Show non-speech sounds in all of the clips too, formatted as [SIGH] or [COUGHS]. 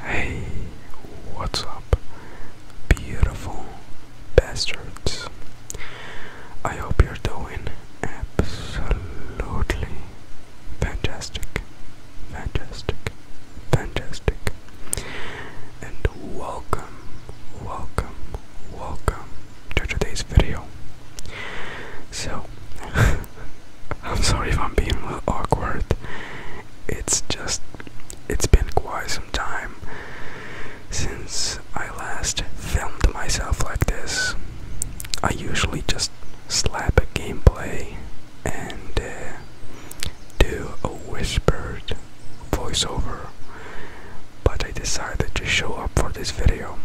Hey, what's up, beautiful bastards? I hope you're doing absolutely fantastic, fantastic, fantastic, and welcome, welcome, welcome to today's video. So, [LAUGHS] I'm sorry if I'm being a little awkward. It's just, it's been quite some time since I last filmed myself like this. I usually just slap a gameplay and uh, do a whispered voiceover, but I decided to show up for this video.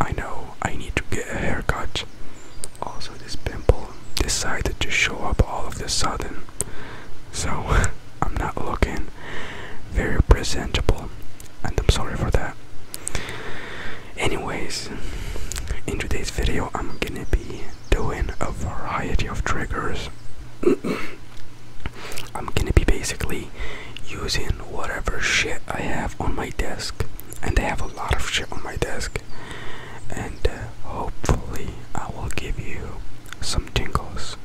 I know I need to get a haircut. Also, this pimple decided to show up all of a sudden, so [LAUGHS] I'm not looking very presentable, and I'm sorry for that. Anyways, in today's video, I'm gonna be doing a variety of triggers. [COUGHS] I'm gonna be basically using whatever shit I have on my desk, and I have a lot of shit on my desk, and uh, hopefully I will give you some tingles.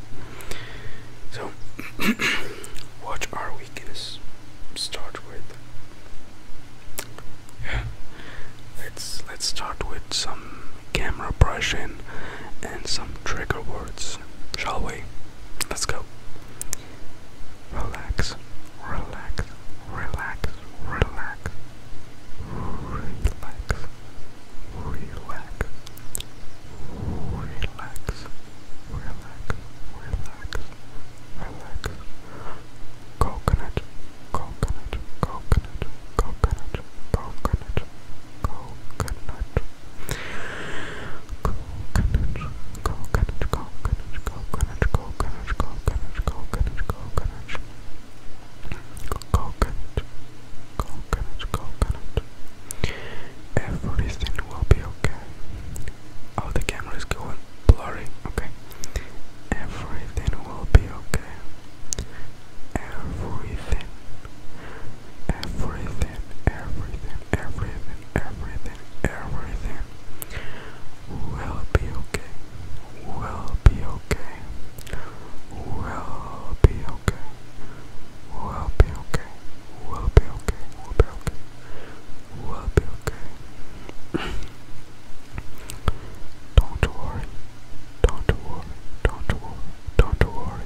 So, what are we gonna start with? Yeah, let's let's start with some camera brushing and some trigger words shall we? Let's go. Relax, relax, relax, relax, relax, relax, relax, relax, relax, relax. Coconut, coconut, coconut, coconut, coconut, coconut coconut, coconut, coconut, coconut, coconut, coconut, coconut, coconut, coconut, coconut, coconut. Everything will be okay. Oh, the camera is going blurry. Okay. Everything will be okay. Everything. Everything. Everything. Everything. Everything everything will be okay. Will be okay. Will be okay. Will be okay. Will be okay. Will be okay. Will be okay. Don't worry. Don't worry. Don't worry. Don't worry.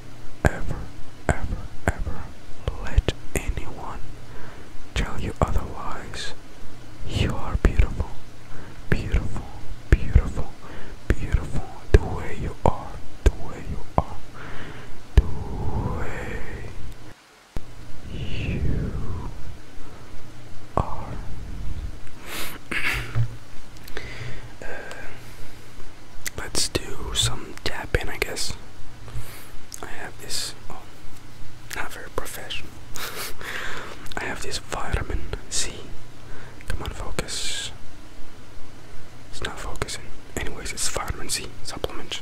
ever, ever, ever let anyone tell you otherwise. You are beautiful, beautiful, beautiful, beautiful. The way you are, the way you are, the way you are. [CLEARS THROAT] uh, let's do some tapping, I guess. I have this, oh, not very professional. [LAUGHS] I have this vitamin C. Come on, focus. It's not focusing. Anyways, it's vitamin C supplement.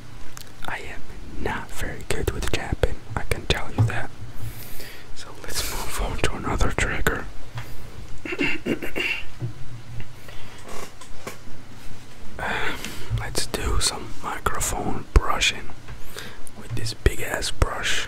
I am not very good with tapping, I can tell you that. So let's move on to another trigger. [COUGHS] Um, let's do some microphone brushing with this big ass brush.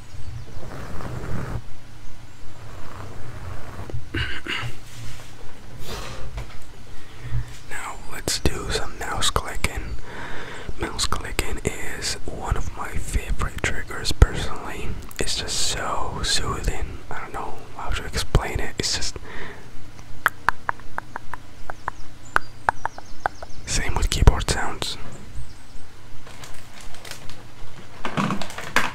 [COUGHS] now let's do some mouse clicking. Mouse clicking is one of my favorite triggers personally. It's just so soothing. I don't know how to explain it. It's just same with keyboard sounds.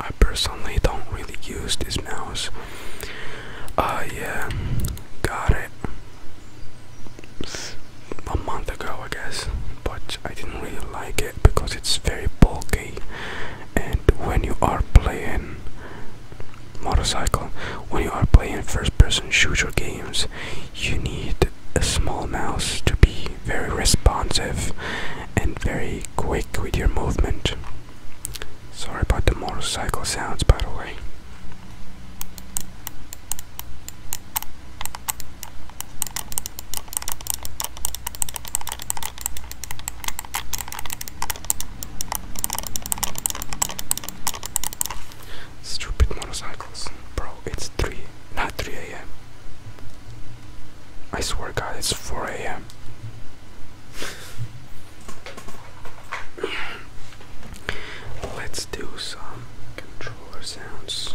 I personally don't really use this mouse uh, yeah, got it a month ago, I guess, but I didn't really like it because it's very bulky. And when you are playing motorcycle, when you are playing first person shooter games, you need a small mouse to be very responsive and very quick with your movement. Sorry about the motorcycle sounds, by the way. Stupid motorcycles. Bro, it's 3, not 3 a.m. I swear, God, it's 4 a.m. [LAUGHS] Let's do some controller sounds.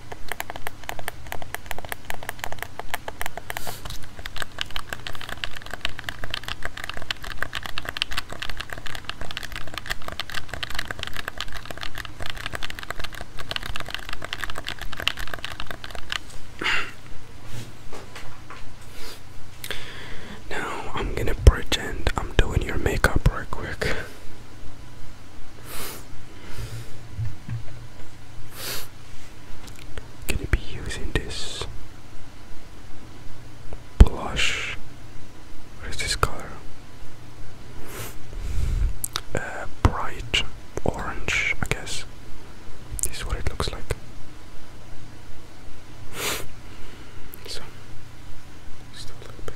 Now I'm gonna pretend I'm doing your makeup real quick. Gonna be using this blush. What is this color? Uh, bright orange, I guess. This is what it looks like. So, just a little bit.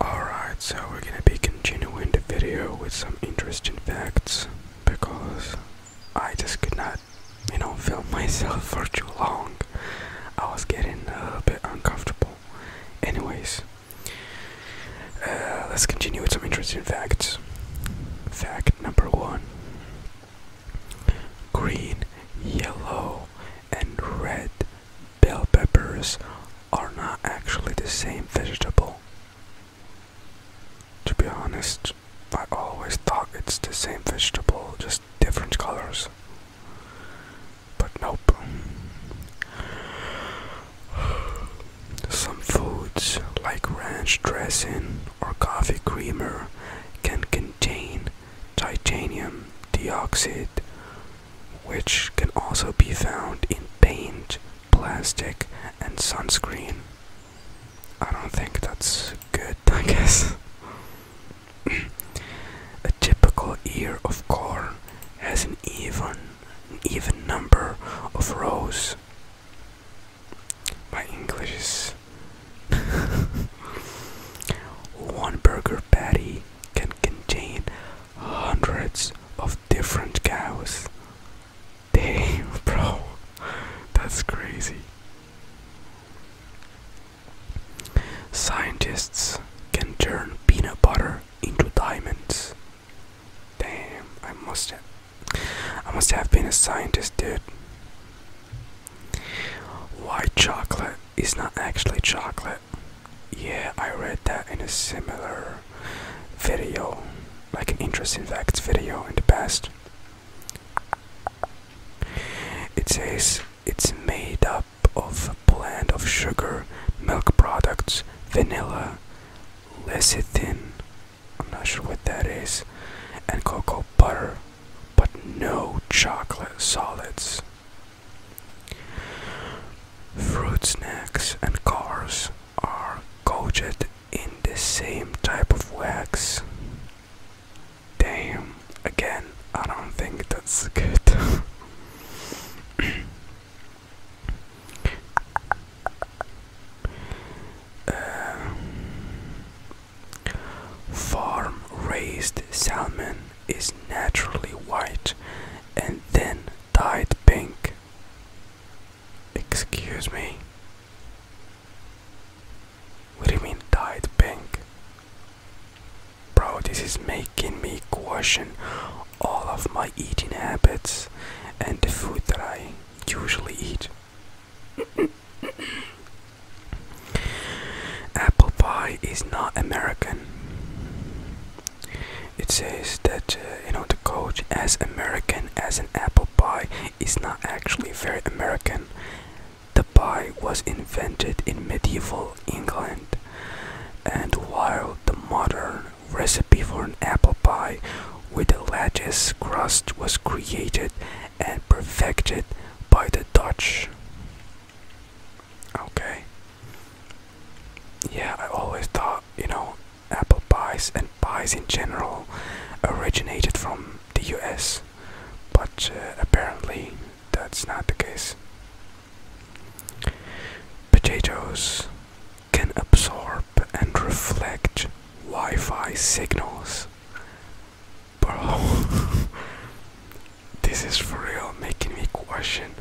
Alright, so we're gonna be continuing the video with some interesting facts because I just could not, you know, film [LAUGHS] myself for too long. I was getting a bit uncomfortable. Anyways, uh, let's continue with some interesting facts. Fact number one green, yellow, and red bell peppers are not actually the same vegetable. To be honest, I always thought it's the same vegetable, just different colors. But nope. Some foods, like ranch dressing or coffee creamer, can contain titanium dioxide, which can also be found in paint, plastic, and sunscreen. I don't think that's good, [LAUGHS] I guess. [CLEARS THROAT] A typical ear of corn has an even, even number of rows. My English [LAUGHS] One burger patty can contain hundreds of different cows. Damn, [LAUGHS] bro, that's crazy. Scientists can turn peanut butter into diamonds. Damn, I must have, I must have been a scientist, dude. White chocolate it's not actually chocolate. Yeah, I read that in a similar video, like an interesting facts video in the past. It says it's made up of a blend of sugar, milk products, vanilla, lecithin, I'm not sure what that is, and cocoa butter, but no chocolate solids. Fruit snacks and cars are coated in the same type of wax. Damn, again, I don't think that's good. [COUGHS] Uh, farm raised salmon is naturally white and then dyed pink. Excuse me? What do you mean dyed pink? Bro, this is making me question all of my eating habits and the food that I usually eat. [COUGHS] Apple pie is not American. It says that uh, you know the coach as American as an apple pie is not actually very American. The pie was invented in medieval England, and while the modern recipe for an apple pie with a lattice crust was created and perfected by the Dutch. Okay. Yeah, I always thought, you know, apple pies and pies in general originated from the US, but uh, apparently that's not the case. Potatoes can absorb and reflect Wi Fi signals. Bro, [LAUGHS] This is for real making me question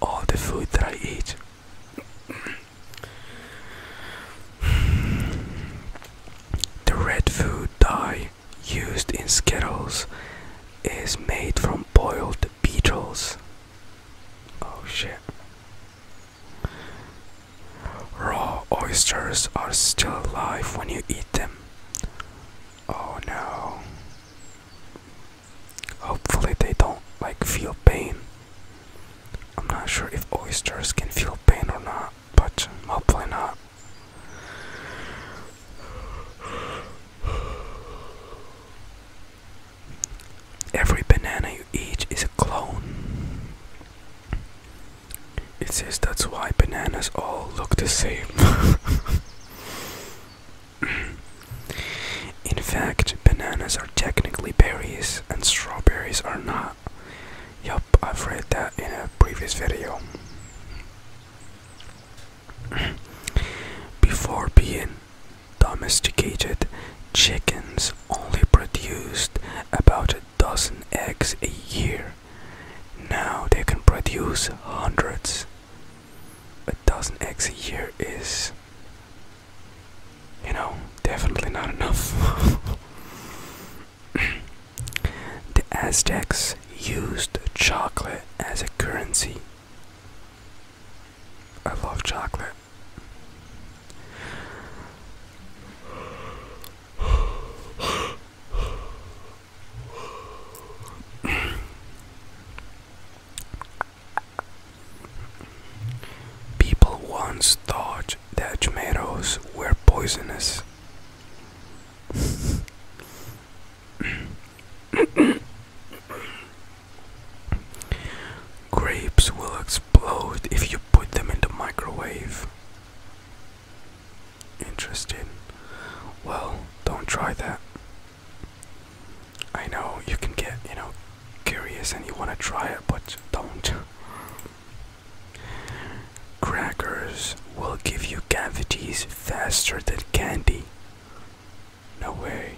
all the food that I eat. the red food dye used in Skittles is made from boiled beetles. Oh shit. Raw oysters are still alive when you eat them. Oh no. Hopefully, they don't like feel pain. I'm not sure if oysters can feel pain or not, but hopefully not. Every banana you eat is a clone. It says that's why bananas all look the same. [LAUGHS] In fact, bananas are technically berries and strawberries are not. Yup, I've read that in a previous video. [CLEARS THROAT] Before being domesticated, chickens only produced about a dozen eggs a year. Now they can produce hundreds a dozen eggs a year is, you know, definitely not enough. [LAUGHS] the Aztecs used chocolate as a currency. I love chocolate. People once thought that tomatoes were poisonous. Grapes will explode if you put them in the microwave. Interesting. Well, don't try that. I know you can get, you know, curious and you want to try it, but don't. Crackers will give you cavities faster than candy. No way.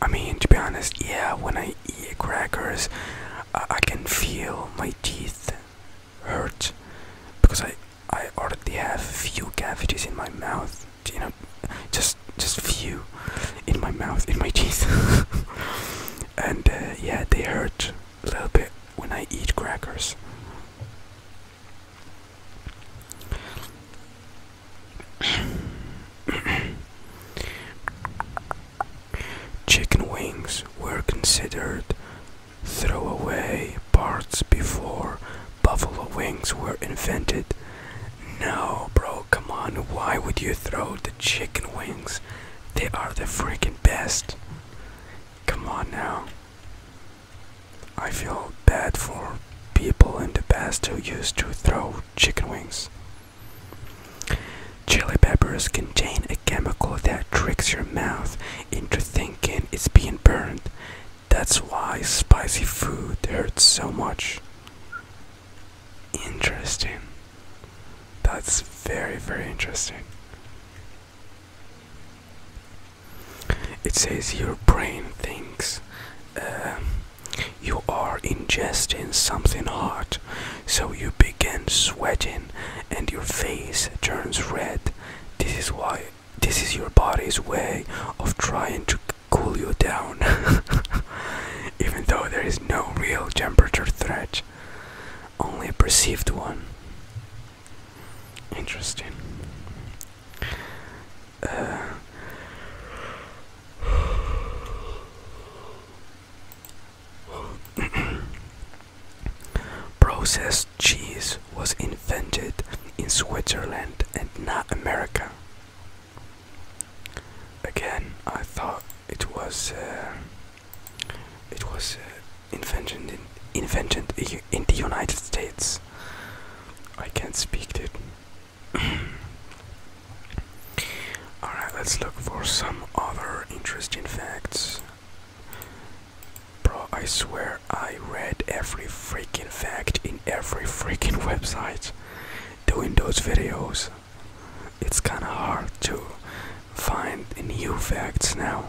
I mean, to be honest, yeah, when I eat crackers, I, can feel my teeth hurt because I I already have few cavities in my mouth. You know, just just few in my mouth, in my [LAUGHS] teeth. and uh, yeah, they hurt a little bit when I eat crackers. [COUGHS] Chicken wings were considered throwaway parts before buffalo wings were invented. No, bro, come on. Why would you throw the chicken wings? They are the freaking best. Come on now. I feel bad for people in the past who used to throw chicken wings. Chili peppers contain a chemical that tricks your mouth into thinking it's being burned. That's why spicy food hurts so much. Interesting. That's very, very interesting. It says your brain thinks uh, you are ingesting something hot, so you begin sweating and your face turns red. This is why this is your body's way of trying to cool you down, [LAUGHS] even though there is no real temperature threat, only a perceived one. Interesting. Uh, [CLEARS THROAT] process cheese was invented in Switzerland and not America. Again, I thought it was uh, it was uh, invented in invented in the United States. I can't speak it. [CLEARS THROAT] Alright, let's look for some other interesting facts. Bro, I swear I read every freaking fact in every freaking [LAUGHS] website doing those videos. It's kinda hard to find new facts now.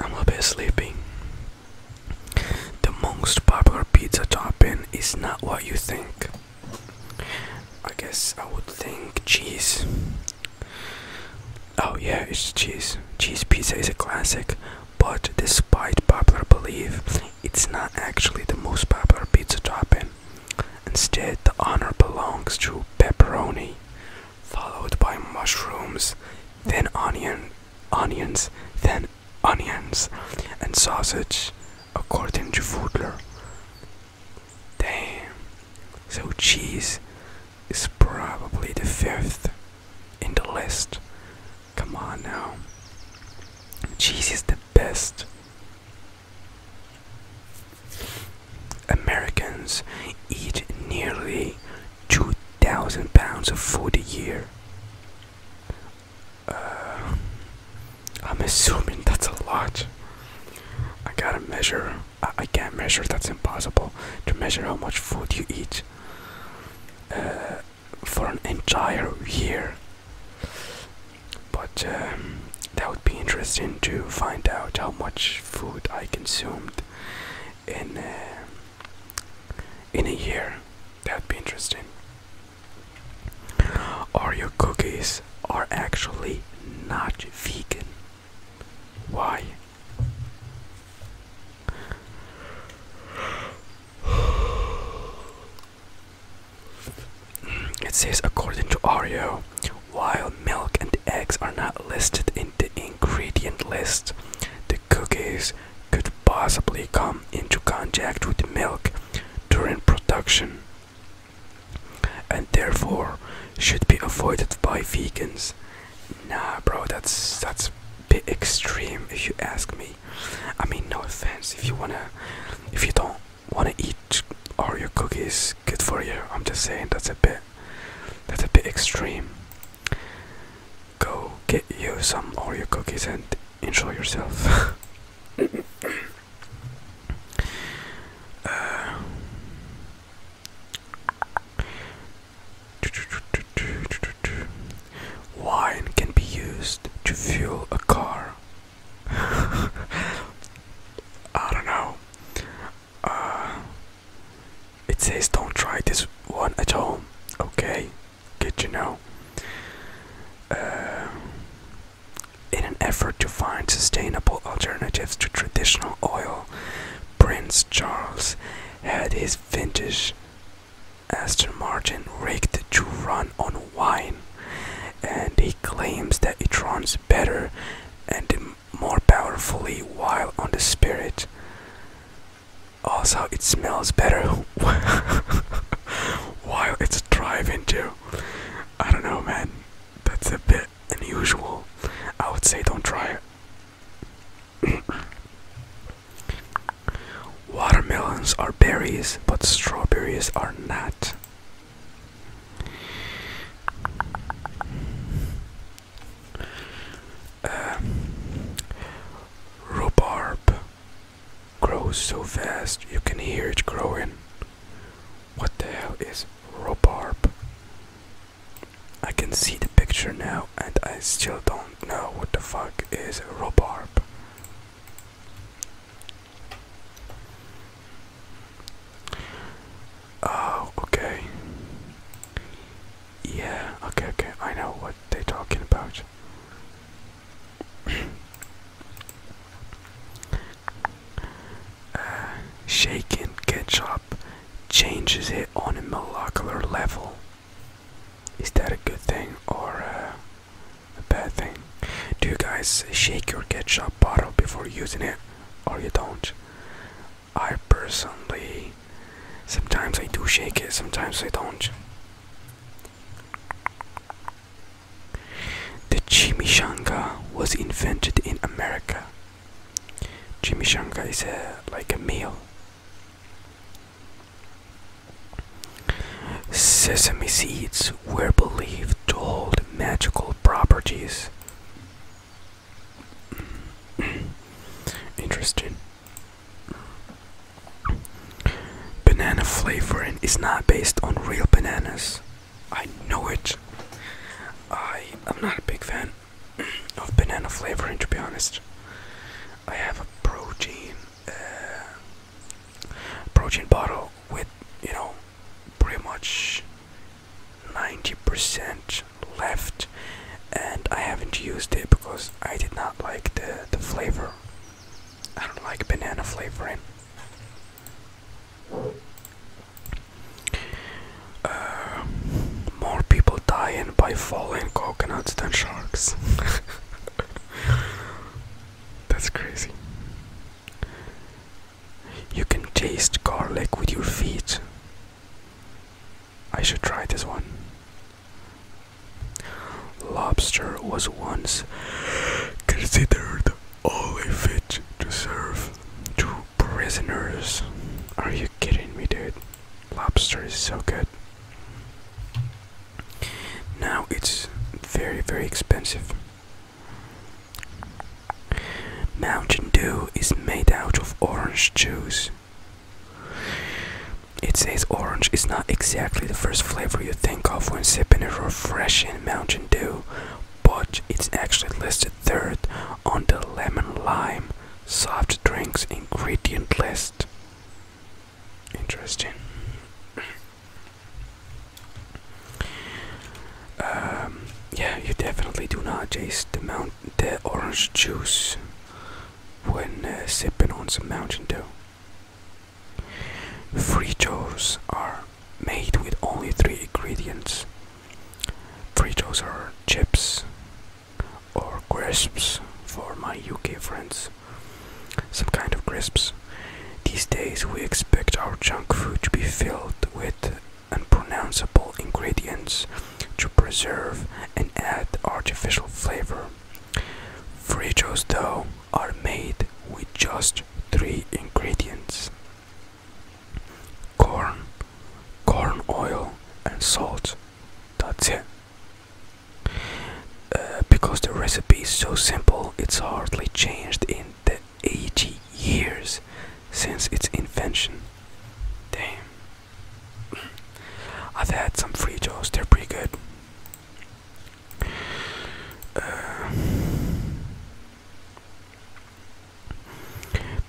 I'm a bit sleeping. The most popular pizza topping is not what you think. I guess I would think cheese. Oh, yeah, it's cheese. Cheese pizza is a classic, but despite popular belief, it's not actually the most popular pizza topping. Instead, the honor belongs to pepperoni, followed by mushrooms, then onion, onions, then onions, and sausage, according to Foodler. Damn. So cheese is probably the fifth in the list. Come on now. Cheese is the best. Americans eat nearly 2,000 pounds of food a year. Uh, I'm assuming that's a lot. I gotta measure. I, can't measure. That's impossible to measure how much food you eat uh, for an entire year. But um, that would be interesting to find out how much food I consumed in uh, in a year. That'd be interesting. Oreo cookies are actually not vegan. Why? It says according to Oreo, while milk and eggs are not listed in the ingredient list, the cookies could possibly come into contact with milk, during production and therefore should be avoided by vegans. Nah, bro, that's that's a bit extreme if you ask me. I mean, no offense. If you wanna, if you don't wanna eat Oreo cookies, good for you. I'm just saying that's a bit, that's a bit extreme. Go get you some Oreo cookies and enjoy yourself. [LAUGHS] Uh, wine can be used to fuel a car. [LAUGHS] I don't know. Uh, it says don't try this one at home, okay? Did you know? Uh, in an effort to find sustainable alternatives to traditional oil, Prince Charles had his vintage Aston Martin rigged to run on wine, and he claims that it runs better and more powerfully while on the spirit. Also, it smells better [LAUGHS] while it's driving too. I don't know, man. That's a bit unusual. I would say don't try it. [COUGHS] Watermelons are berries, but strawberries are not. Um, rhubarb grows so fast you can hear it growing. What the hell is rhubarb? I can see the picture now and I still don't know what the fuck is rhubarb. Oh, okay. Yeah, okay, okay, I know what they're talking about. Uh, shaking shaken ketchup changes it on a molecular level. Is that a good thing or uh, a bad thing? Do you guys shake your ketchup bottle before using it or you don't? I personally, sometimes I do shake it, sometimes I don't. The chimichanga was invented in America. Chimichanga is like a meal. Sesame seeds were believed to hold magical properties. [CLEARS THROAT] Interesting. Banana flavoring is not based on real bananas. I know it. I am not a big fan of banana flavoring, to be honest. I have a protein, uh, protein bottle with you know pretty much 90% left, and I haven't used it because I did not like the the flavor. I don't like banana flavoring. Uh, more people dying by falling coconuts than sharks. [LAUGHS] That's crazy. You can taste garlic with your feet. I should try this one. Lobster was once considered only fit to serve to prisoners. Are you kidding me, dude? Lobster is so good. Now it's very, very expensive. Mountain Dew is made out of orange juice. It says orange is not exactly the first flavor you think of when sipping a refreshing Mountain Dew, but it's actually listed third on the lemon lime soft drinks ingredient list. Interesting. Um, yeah, you definitely do not taste the, mount the orange juice when uh, sipping on some Mountain Dew. Fritos are made with only three ingredients. Fritos are chips or crisps for my UK friends. Some kind of crisps. These days we expect our junk food to be filled with unpronounceable ingredients to preserve and add artificial flavor. Fritos, though, are made with just three ingredients corn, corn oil, and salt. That's it. Uh, because the recipe is so simple, it's hardly changed in the 80 years since its invention. Damn. I've had some Fritos, they're pretty good.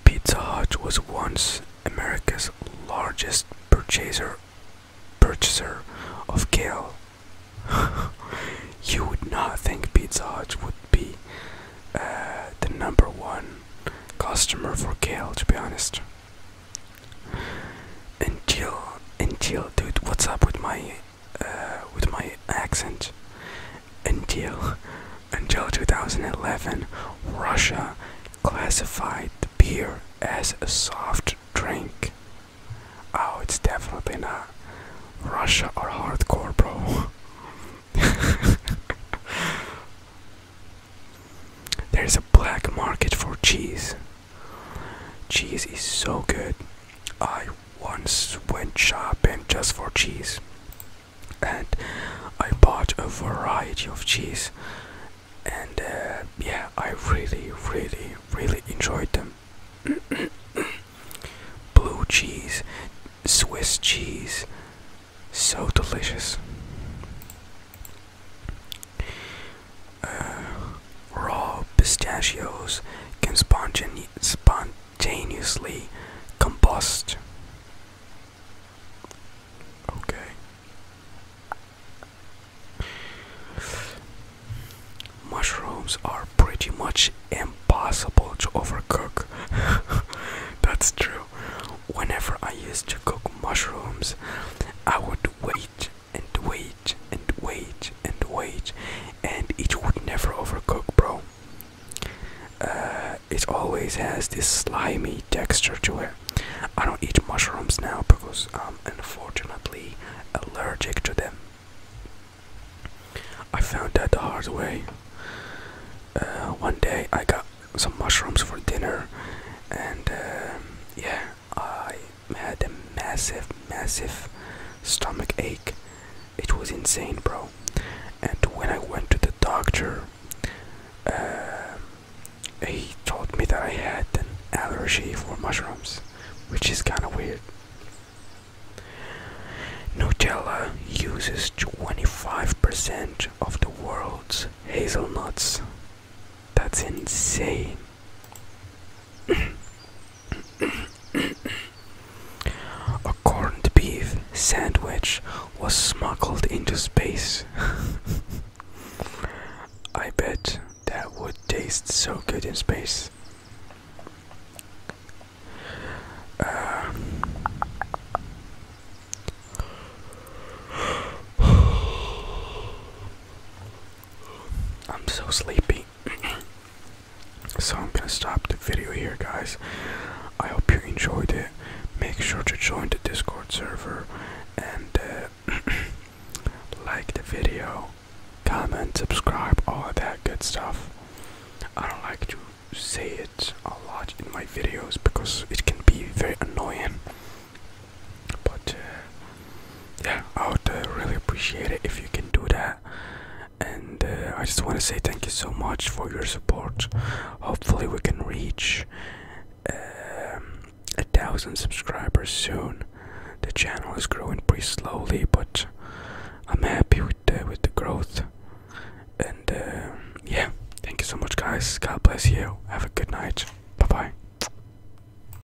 Pizza Hut was once America's largest purchaser purchaser of kale. [LAUGHS] you would not think Pizza Hut would be uh, the number one customer for kale, to be honest. And chill, dude. What's up with my, uh, with my accent? [LAUGHS] Until, until 2011, Russia classified the beer as a soft drink. Oh, it's definitely not Russia or hardcore, bro. [LAUGHS] There's a black market for cheese. Cheese is so good. I once went shopping just for cheese, and I bought a variety of cheese, and uh, yeah, I really, really, really enjoyed them. [COUGHS] Blue cheese, Swiss cheese, so delicious. Uh, raw pistachios can spontaneously combust. Okay. Mushrooms are pretty much impossible to overcook. [LAUGHS] That's true. Whenever I used to cook mushrooms, I would wait and wait and wait and wait, and it would never overcook, bro. Uh, it always has this slimy texture to it. I don't eat mushrooms now because I'm unfortunately allergic to them. I found that the hard way. Uh, one day I got some mushrooms for dinner, and um, yeah, I had a massive, massive stomach ache. It was insane, bro. And when I went to the doctor, uh, he told me that I had an allergy for mushrooms, which is kind of weird. Nutella uses 25% of the world's hazelnuts that's insane. A corned beef sandwich was smuggled into space. [LAUGHS] I bet that would taste so good in space. Uh, I'm so sleepy. [CLEARS THROAT] so I'm gonna stop the video here, guys. I hope you enjoyed it. Make sure to join the Discord server and uh, [CLEARS THROAT] like the video, comment, subscribe, all that good stuff. I don't like to say it a lot in my videos because it can be very annoying. But uh, yeah, I would uh, really appreciate it if you can do that. And uh, I just want to say thank you so much for your support. Hopefully, we can reach um, a thousand subscribers soon. The channel is growing pretty slowly, but I'm happy with uh, with the growth. And yeah, thank you so much, guys. God bless you. Have a good night. Bye bye.